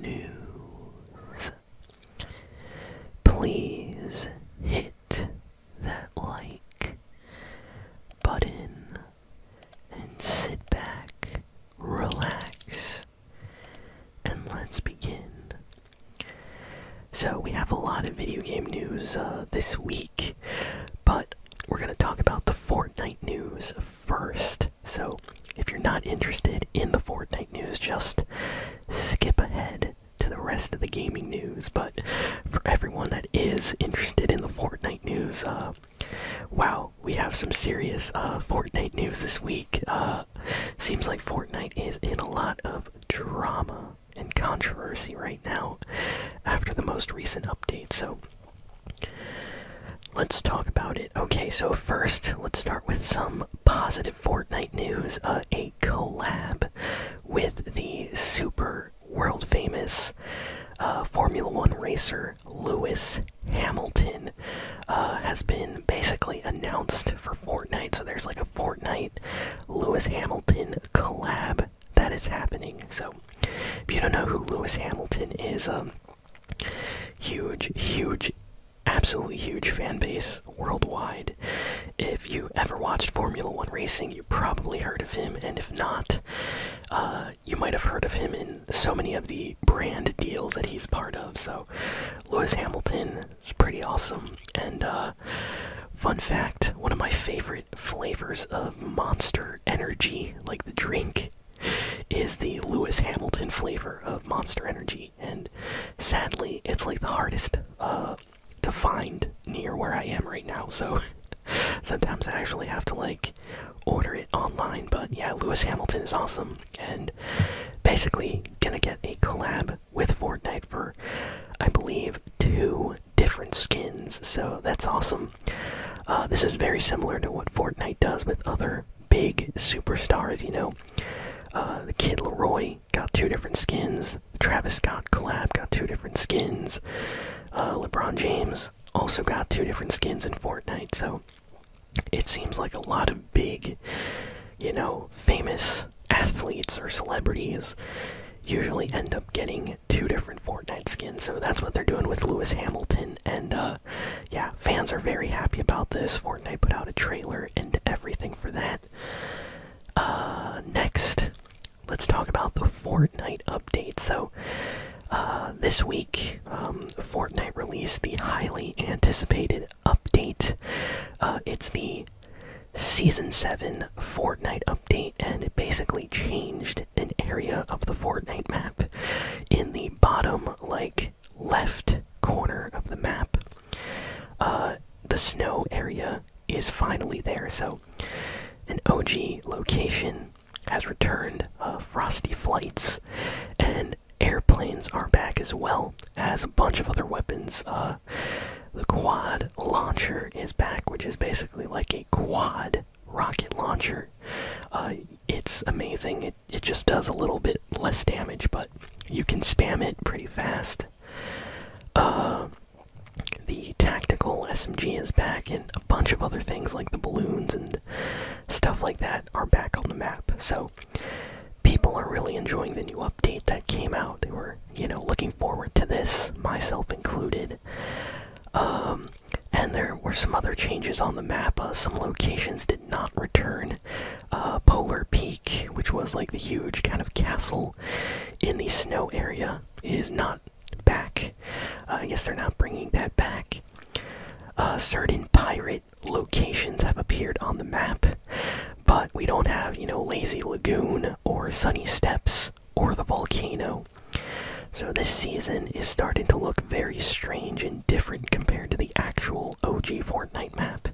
news. Please hit that like button and sit back, relax, and let's begin. So, we have a lot of video game news uh, this week, but we're going to talk about the Fortnite news first. So if you're not interested in the Fortnite news, just skip ahead to the rest of the gaming news. But for everyone that is interested in the Fortnite news, uh, wow, we have some serious uh, Fortnite news this week. Uh, seems like Fortnite is in a lot of drama and controversy right now after the most recent update. So let's talk about it. Okay, so first, let's start with some positive Fortnite news, uh, a collab with the super world famous uh, Formula One racer Lewis Hamilton uh, has been basically announced for Fortnite. So there's like a Fortnite Lewis Hamilton collab that is happening. So if you don't know who Lewis Hamilton is, a um, huge, huge absolutely huge fan base worldwide. If you ever watched Formula One racing, you probably heard of him, and if not, uh, you might have heard of him in so many of the brand deals that he's part of. So, Lewis Hamilton is pretty awesome. And uh, fun fact: one of my favorite flavors of Monster Energy, like the drink, is the Lewis Hamilton flavor of Monster Energy and sadly, it's like the hardest uh, to find near where I am right now. So sometimes I actually have to like order it online. But yeah, Lewis Hamilton is awesome, and basically gonna get a collab with Fortnite for I believe two different skins. So that's awesome. Uh, this is very similar to what Fortnite does with other big superstars, you know. Uh, the Kid Leroy got two different skins. Travis Scott collab got two different skins. Uh, LeBron James also got two different skins in Fortnite. So it seems like a lot of big, you know, famous athletes or celebrities usually end up getting two different Fortnite skins. So that's what they're doing with Lewis Hamilton and uh, yeah, fans are very happy about this. Fortnite put out a trailer and everything for that. Uh, next, let's talk about the Fortnite update. So, uh, this week, um, Fortnite released the highly anticipated update. Uh, it's the Season 7 Fortnite update, and it basically changed an area of the Fortnite map. In the bottom, like, left corner of the map, uh, the snow area is finally there. So, an OG location has returned. Uh, frosty flights and airplanes are back as well as a bunch of other weapons. Uh, the quad launcher is back, which is basically like a quad rocket launcher. it's amazing it just does a little bit less damage, but you can spam it pretty fast. Uh, the tactical SMG is back, and a bunch of other things like the balloons and stuff like that are back on the map. So people are really enjoying the new update that came out. They were, you know, looking forward to this, myself included. Um, and there were some other changes on the map. Uh, some locations did not return, uh, polar Peak, which was like the huge kind of castle in the snow area, is not back. I uh, guess they're not bringing that back. Uh, certain pirate locations have appeared on the map, but we don't have, you know, Lazy Lagoon or Sunny Steps or the volcano. So this season is starting to look very strange and different compared to the actual OG Fortnite map.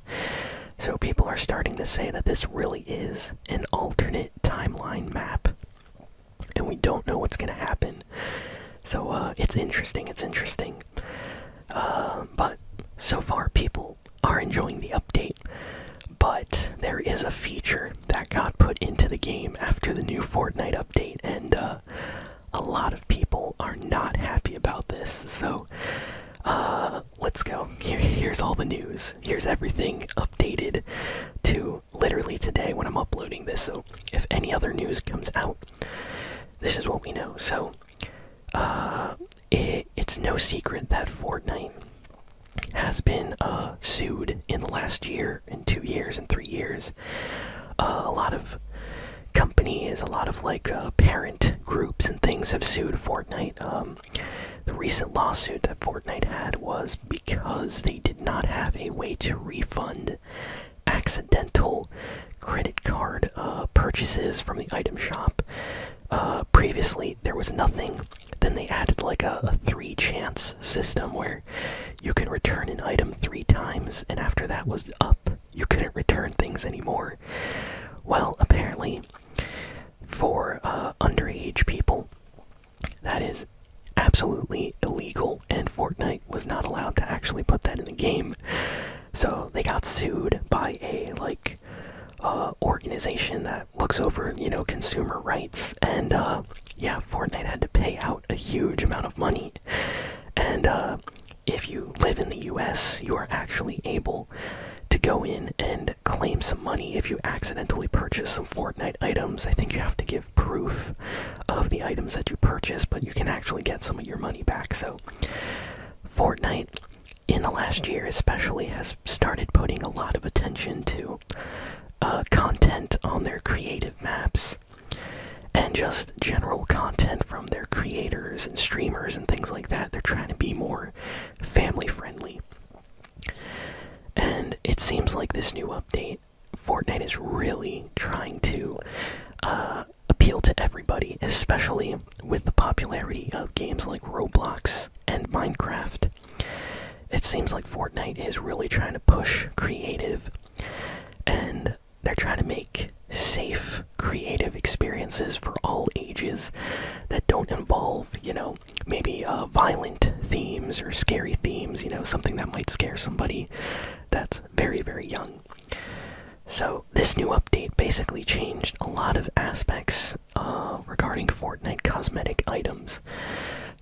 So people are starting to say that this really is an alternate timeline map. And we don't know what's going to happen. So uh, it's interesting, it's interesting. Uh, but so far, people are enjoying the update. But there is a feature that got put into the game after the new Fortnite update, and uh, a lot of people are not happy about this. So uh, let's go. here's all the news. Here's everything updated to literally today when I'm uploading this. So if any other news comes out, this is what we know. So uh, it's no secret that Fortnite has been uh, sued in the last year, in two years, in three years. Uh, a lot of companies, a lot of like uh, parents groups and things have sued Fortnite. Um, the recent lawsuit that Fortnite had was because they did not have a way to refund accidental credit card uh, purchases from the item shop. Uh, previously, there was nothing. Then they added like a three chance system where you can return an item three times, and after that was up, you couldn't return things anymore. Well, apparently, for uh, underage people, that is absolutely illegal, and Fortnite was not allowed to actually put that in the game. So they got sued by a like uh, organization that looks over, you know, consumer rights, and uh, yeah, Fortnite had to pay out a huge amount of money, and if you live in the US, you are actually able to go in and claim some money if you accidentally purchase some Fortnite items. I think you have to give proof of the items that you purchase, but you can actually get some of your money back. So, Fortnite, in the last year especially, has started putting a lot of attention to uh, content on their creative maps and just general content from their creators and streamers and things like that. They're trying to be more family friendly. And it seems like this new update, Fortnite is really trying to uh, appeal to everybody, especially with the popularity of games like Roblox and Minecraft. It seems like Fortnite is really trying to push creative and they're trying to make safe creative experiences for all ages that don't involve, you know, maybe uh, violent themes or scary themes, you know, something that might scare somebody that's very, very young. So, this new update basically changed a lot of aspects uh, regarding Fortnite cosmetic items.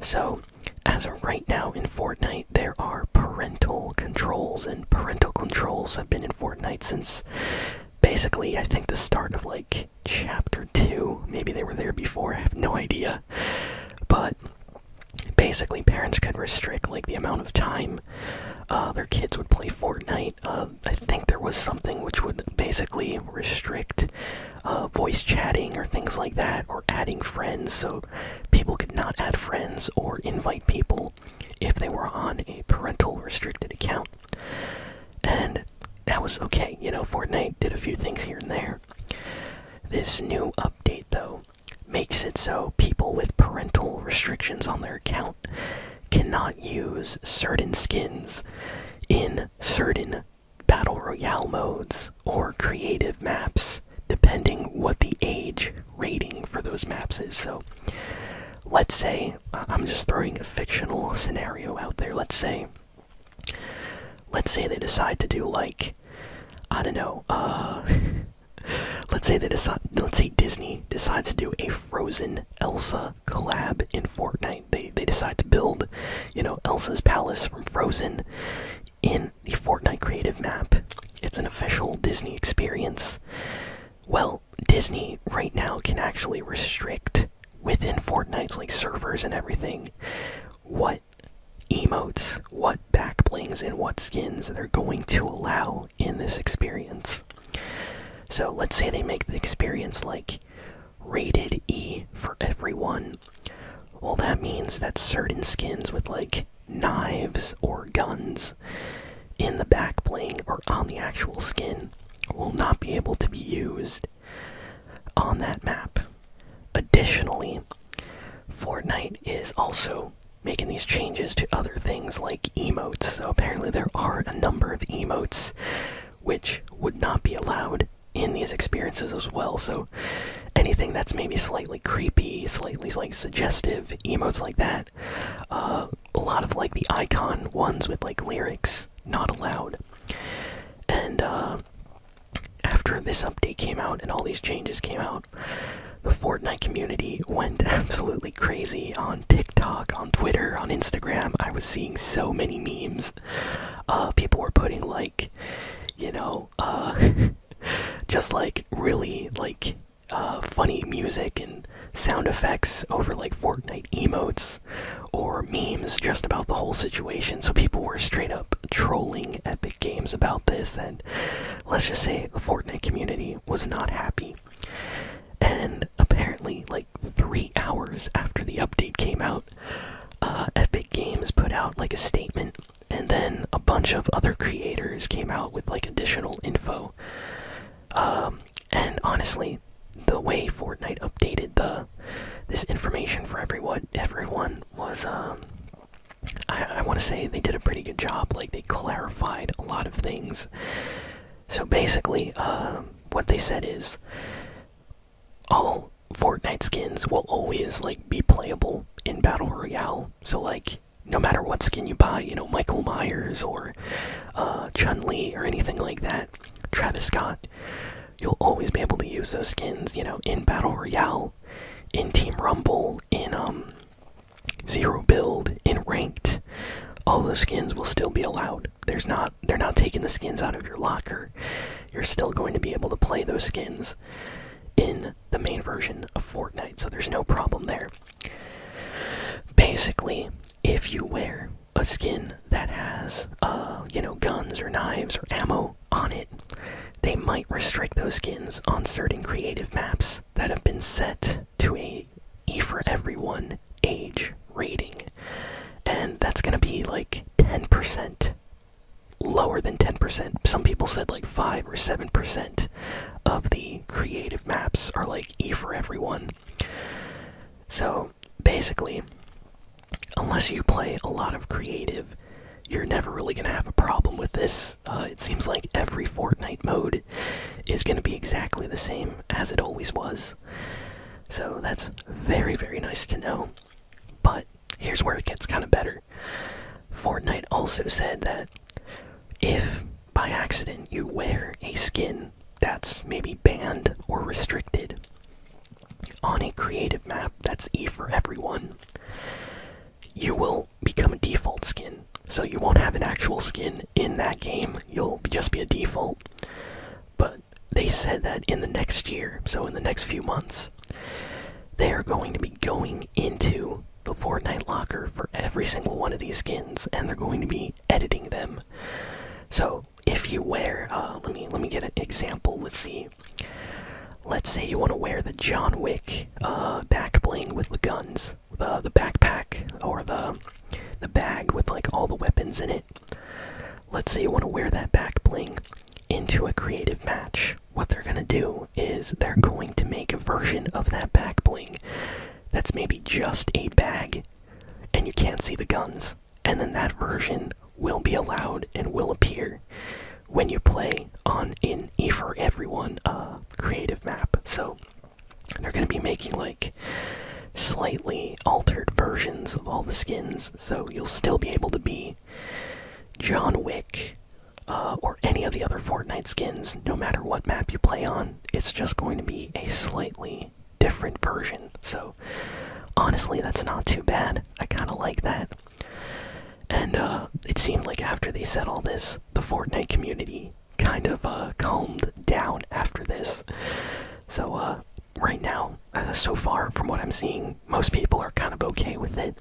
So, as of right now in Fortnite, there are parental controls, and parental controls have been in Fortnite since basically, I think, the start of like chapter two. Maybe they were there before, I have no idea. But basically, parents could restrict like the amount of time uh, their kids would play Fortnite. Uh, I think there was something which would basically restrict uh, voice chatting or things like that, or adding friends. So people could not add friends or invite people if they were on a parental restricted account. And that was okay. You know, Fortnite did a few things here and there. This new update, though, makes it so people with parental restrictions on their account cannot use certain skins in certain battle royale modes or creative maps depending what the age rating for those maps is so let's say I'm just throwing a fictional scenario out there. Let's say, let's say they decide to do like, I don't know. Uh, let's say they decide. Let's say Disney decides to do a Frozen Elsa collab in Fortnite. They they decide to build, you know, Elsa's palace from Frozen in the Fortnite creative map. It's an official Disney experience. Well, Disney right now can actually restrict within Fortnite's like servers and everything what emotes, what backblings, and what skins they're going to allow in this experience. So let's say they make the experience like rated E for everyone. Well, that means that certain skins with like knives or guns in the back plane or on the actual skin will not be able to be used on that map. Additionally, Fortnite is also making these changes to other things like emotes. So apparently there are a number of emotes which would not be allowed in these experiences as well. So anything that's maybe slightly creepy, slightly like suggestive, emotes like that uh, a lot of like the icon ones with like lyrics not allowed. And uh, after this update came out and all these changes came out, the Fortnite community went absolutely crazy on TikTok, on Twitter, on Instagram. I was seeing so many memes. Uh, people were putting like, you know, just like really like funny music and sound effects over like Fortnite emotes or memes just about the whole situation. So people were straight up trolling Epic Games about this, and let's just say the Fortnite community was not happy. And apparently, like three hours after the update came out, uh, Epic Games put out like a statement, and then a bunch of other creators came out with like additional info. Um, and honestly, the way Fortnite updated the this information for everyone everyone was um, I, want to say they did a pretty good job. Like they clarified a lot of things. So basically, um, what they said is all Fortnite skins will always like be playable in battle royale. So like no matter what skin you buy, you know Michael Myers or uh, Chun Li or anything like that, Travis Scott, you'll always be able to use those skins, you know, in Battle Royale, in Team Rumble, in um, Zero Build, in Ranked. All those skins will still be allowed. There's not they're not taking the skins out of your locker. You're still going to be able to play those skins in the main version of Fortnite, so there's no problem there. Basically, if you wear a skin that has, uh, you know, guns or knives or ammo on it, they might restrict those skins on certain creative maps that have been set to a E for everyone age rating. And that's gonna be like 10%, lower than 10%. Some people said like 5 or 7% of the creative maps are like E for everyone. So basically, unless you play a lot of creative, you're never really gonna have a problem with this. Uh, it seems like every Fortnite mode is gonna be exactly the same as it always was. So that's very, very nice to know. But here's where it gets kind of better. Fortnite also said that if by accident you wear a skin that's maybe banned or restricted. On a creative map, that's E for everyone, you will become a default skin. So you won't have an actual skin in that game, you'll just be a default. But they said that in the next year, so in the next few months, they are going to be going into the Fortnite locker for every single one of these skins, and they're going to be editing them. So if you wear uh, let me let me get an example let's see let's say you want to wear the john wick uh, back bling with the guns the the backpack or the the bag with like all the weapons in it let's say you want to wear that back bling into a creative match what they're going to do is they're going to make a version of that back bling that's maybe just a bag and you can't see the guns. And then that version will be allowed and will appear when you play on in E for Everyone uh, creative map. So they're going to be making like slightly altered versions of all the skins, so you'll still be able to be John Wick. Uh, or any of the other Fortnite skins, no matter what map you play on, it's just going to be a slightly different version. So honestly, that's not too bad. I kind of like that. And uh, it seemed like after they said all this, the Fortnite community kind of uh, calmed down after this. So uh, right now, so far from what I'm seeing, most people are kind of okay with it.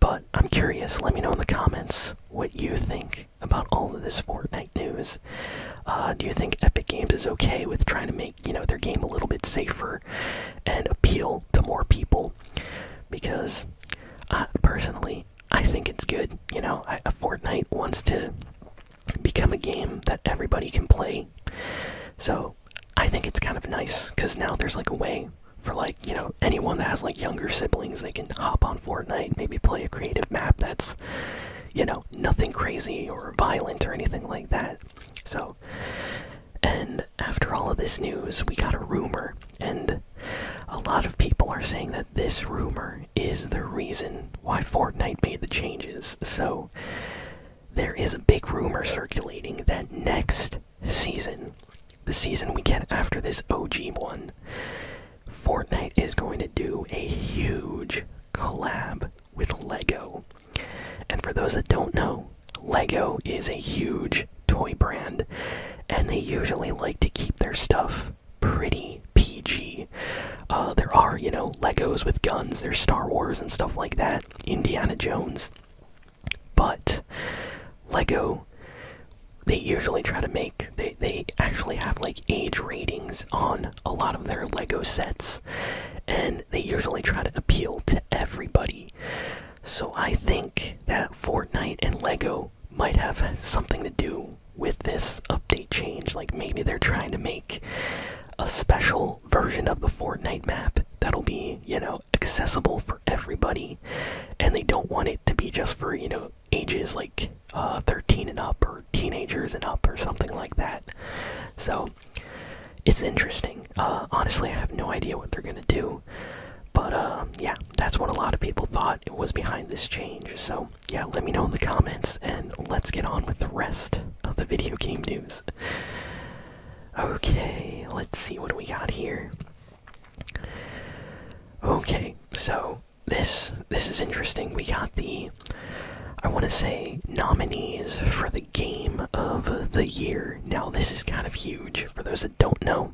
But I'm curious. Let me know in the comments what you think about all of this Fortnite news. Uh, do you think Epic Games is okay with trying to make you know their game a little bit safer and appeal to more people? Because uh, personally, I think it's good. You know, uh, Fortnite wants to become a game that everybody can play, so I think it's kind of nice because now there's like a way for like you know anyone that has like younger siblings they can hop on fortnite maybe play a creative map that's you know, nothing crazy or violent or anything like that. So, and after all of this news, we got a rumor, and a lot of people are saying that this rumor is the reason why Fortnite made the changes. So, there is a big rumor circulating that next season, the season we get after this OG one, Fortnite is going to do a huge collab with Lego. And for those that don't know, Lego is a huge toy brand, and they usually like to keep their stuff pretty PG. Uh, there are, you know, Legos with guns, there's Star Wars and stuff like that, Indiana Jones. But Lego, they usually try to make, they, they actually have like age ratings on a lot of their Lego sets, and they usually try to appeal to everybody. So I think that Fortnite and Lego might have something to do with this update change. Like maybe they're trying to make a special version of the Fortnite map that'll be, you know, accessible for everybody, and they don't want it to be just for, you know, ages like uh, 13 and up or teenagers and up or something like that. So it's interesting. Uh, honestly, I have no idea what they're going to do. But um, yeah, that's what a lot of people thought it was behind this change. So yeah, let me know in the comments and let's get on with the rest of the video game news. Okay, let's see what we got here. Okay, so this this is interesting. We got the I want to say, nominees for the game of the year. Now, this is kind of huge for those that don't know.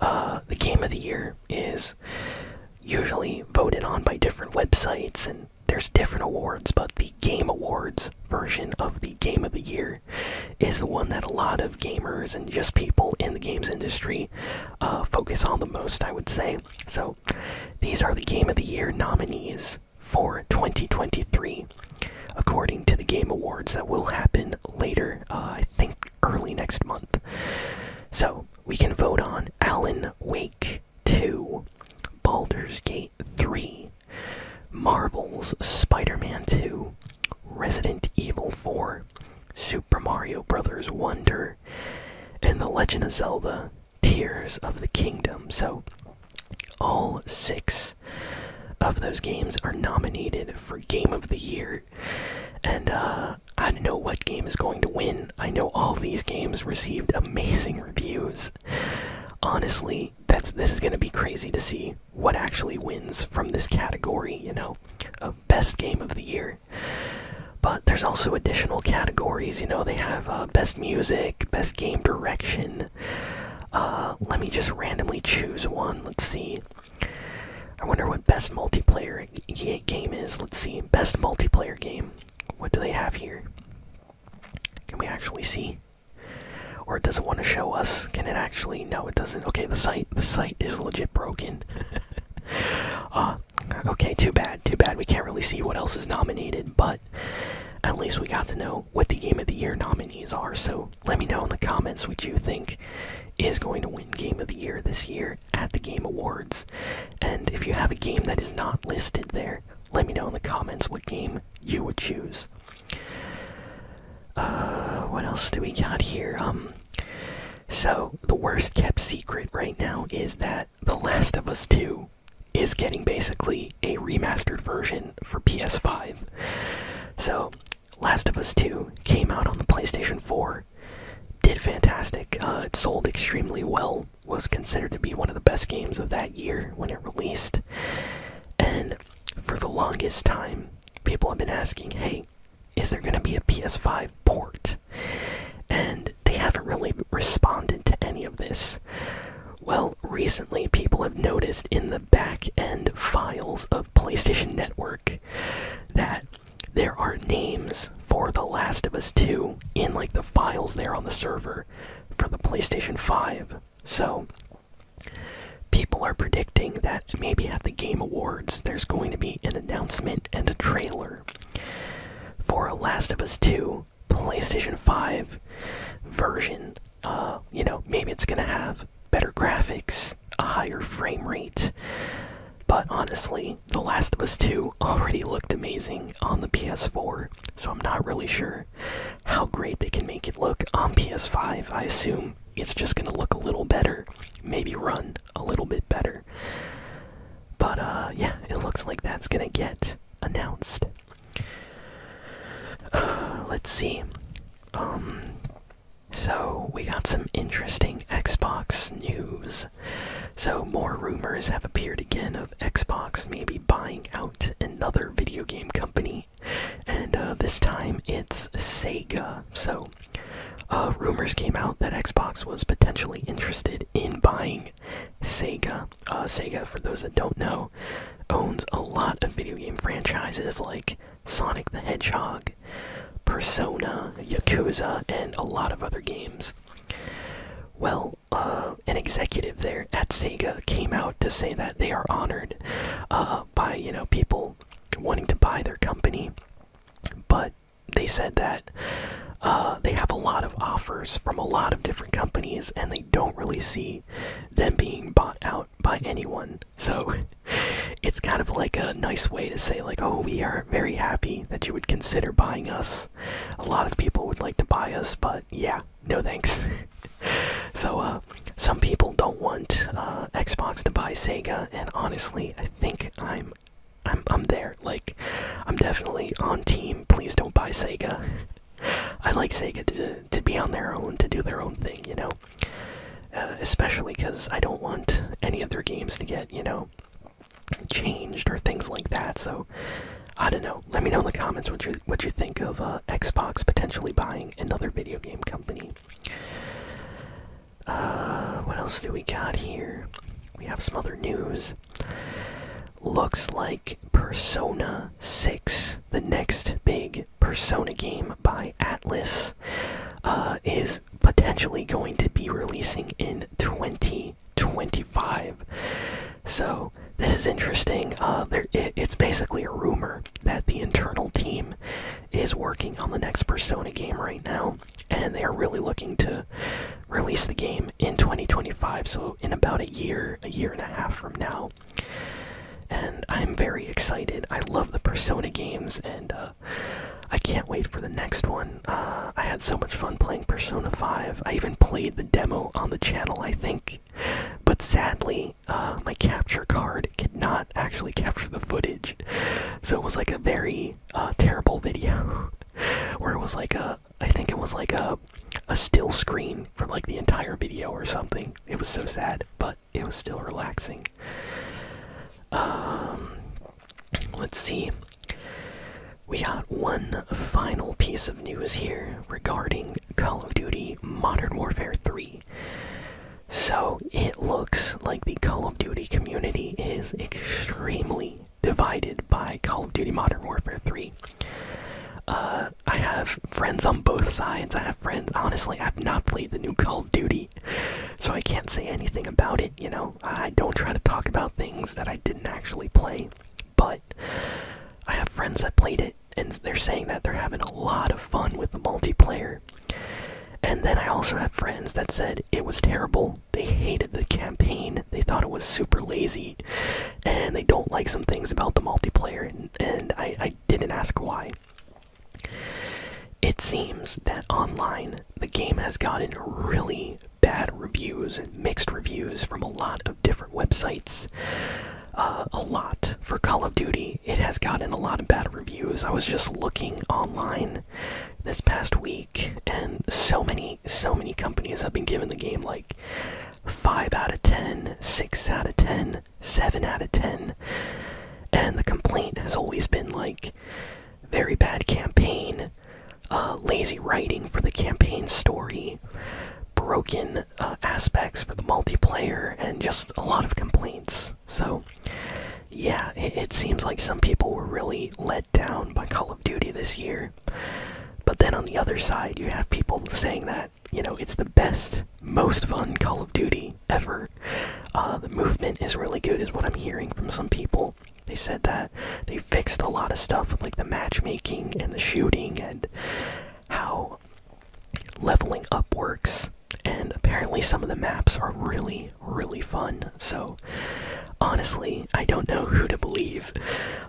Uh, the game of the year is usually voted on by different websites, and there's different awards, but the Game Awards version of the game of the year is the one that a lot of gamers and just people in the games industry uh, focus on the most, I would say. So these are the Game of the Year nominees for 2023, according to the Game Awards that will happen later, uh, I think early next month. So we can vote on Alan Wake 2, Baldur's Gate 3, Marvel's Spider Man 2, Resident Evil 4, Super Mario Brothers Wonder, and The Legend of Zelda tiers of the kingdom. So all six of those games are nominated for Game of the Year. And uh, I don't know what game is going to win. I know all these games received amazing reviews. Honestly, that's this is going to be crazy to see what actually wins from this category, you know, of best game of the year. But there's also additional categories. You know, they have uh, best music, best game direction. Uh, let me just randomly choose one. Let's see. I wonder what best multiplayer game is. Let's see. Best multiplayer game. What do they have here? Can we actually see? Or it doesn't want to show us. Can it actually? No, it doesn't. Okay, the site the site is legit broken. Uh, Okay, too bad, too bad. We can't really see what else is nominated, but at least we got to know what the Game of the Year nominees are. So let me know in the comments what you think is going to win Game of the Year this year at the Game Awards. And if you have a game that is not listed there, let me know in the comments what game you would choose. Uh, what else do we got here? Um, so the worst kept secret right now is that The Last of Us 2 is getting basically a remastered version for PS5. So, Last of Us 2 came out on the PlayStation 4, did fantastic, uh, it sold extremely well, was considered to be one of the best games of that year when it released, and for the longest time, people have been asking, hey, is there going to be a PS5 port? And they haven't really responded to any of this. Well, recently people have noticed in the back end files of PlayStation Network that there are names for The Last of Us 2 in like the files there on the server for the PlayStation 5. So people are predicting that maybe at the Game Awards there's going to be an announcement and a trailer for Last of Us 2 PlayStation 5 version. Uh, you know, maybe it's gonna have better graphics, a higher frame rate. But honestly, The Last of Us 2 already looked amazing on the PS4, so I'm not really sure how great they can make it look on PS5. I assume it's just gonna look a little better, maybe run a little bit better. But uh, yeah, it looks like that's gonna get announced. Uh, let's see. Um, so we got some interesting Xbox news. So more rumors have appeared again of Xbox maybe buying out another video game company, and uh, this time it's Sega. So. rumors came out that Xbox was potentially interested in buying Sega. Uh, Sega, for those that don't know, owns a lot of video game franchises like Sonic the Hedgehog, Persona, Yakuza, and a lot of other games. Well, uh, an executive there at Sega came out to say that they are honored uh, by you know people wanting to buy their company, but they said that uh, they have a lot of offers from a lot of different companies, and they don't really see them being bought out by anyone. So it's kind of like a nice way to say, like, oh, we are very happy that you would consider buying us. A lot of people would like to buy us, but yeah, no thanks. so uh, some people don't want uh, Xbox to buy Sega, and honestly, I think I'm. I'm, I'm there. Like, I'm definitely on team. Please don't buy Sega. I like Sega to to be on their own, to do their own thing, you know. Uh, especially because I don't want any of their games to get, you know, changed or things like that. So I don't know. Let me know in the comments what you what you think of uh, Xbox potentially buying another video game company. Uh, what else do we got here? We have some other news looks like Persona 6, the next big Persona game by Atlus, uh, is potentially going to be releasing in 2025. So, this is interesting. Uh, there, it's basically a rumor that the internal team is working on the next Persona game right now, and they are really looking to release the game in 2025. So in about a year, a year and a half from now. And I'm very excited. I love the Persona games, and uh, I can't wait for the next one. Uh, I had so much fun playing Persona 5. I even played the demo on the channel, I think. But sadly, uh, my capture card could not actually capture the footage. So it was like a very terrible video where it was like a I think it was like a a still screen for like the entire video or something. It was so sad, but it was still relaxing. Um, let's see. We got one final piece of news here regarding Call of Duty Modern Warfare 3. So, it looks like the Call of Duty community is extremely divided by Call of Duty Modern Warfare 3. Uh, I have friends on both sides. I have friends. Honestly, I've not played the new Call of Duty, so I can't say anything about it. You know, I don't try to talk about things that I didn't actually play. But I have friends that played it, and they're saying that they're having a lot of fun with the multiplayer. And then I also have friends that said it was terrible. They hated the campaign. They thought it was super lazy and they don't like some things about the multiplayer, and, I, didn't ask why. It seems that online, the game has gotten really bad reviews, mixed reviews from a lot of different websites. Uh, a lot for Call of Duty. It has gotten a lot of bad reviews. I was just looking online this past week, and so many, so many companies have been giving the game like 5 out of 10, 6 out of 10, 7 out of 10. And the complaint has always been like very bad campaign, uh, lazy writing for the campaign story, broken uh, aspects for the multiplayer, and just a lot of complaints. So, yeah, it seems like some people were really let down by Call of Duty this year, but then on the other side, you have people saying that, you know, it's the best, most fun Call of Duty ever. Uh, the movement is really good, is what I'm hearing from some people. They said that they fixed a lot of stuff like the matchmaking and the shooting and how leveling up works. And apparently, some of the maps are really, really fun. So, honestly, I don't know who to believe,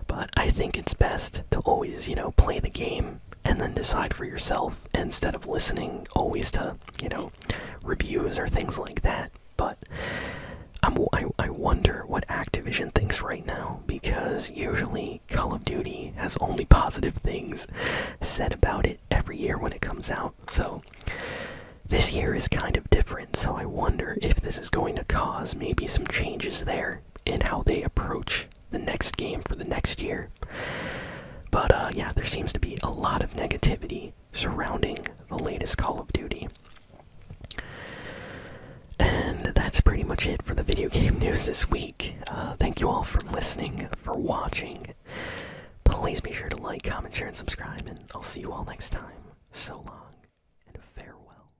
but I think it's best to always, you know, play the game and then decide for yourself instead of listening always to, you know, reviews or things like that. But I, I wonder what Activision thinks right now because usually Call of Duty has only positive things said about it every year when it comes out. So this year is kind of different, so I wonder if this is going to cause maybe some changes there year and how they approach the next game for the next year. But uh, yeah, there seems to be a lot of negativity surrounding the latest Call of Duty. And that's pretty much it for the video game news this week. Uh, thank you all for listening, for watching. Please be sure to like, comment, share, and subscribe, and I'll see you all next time. So long, and farewell.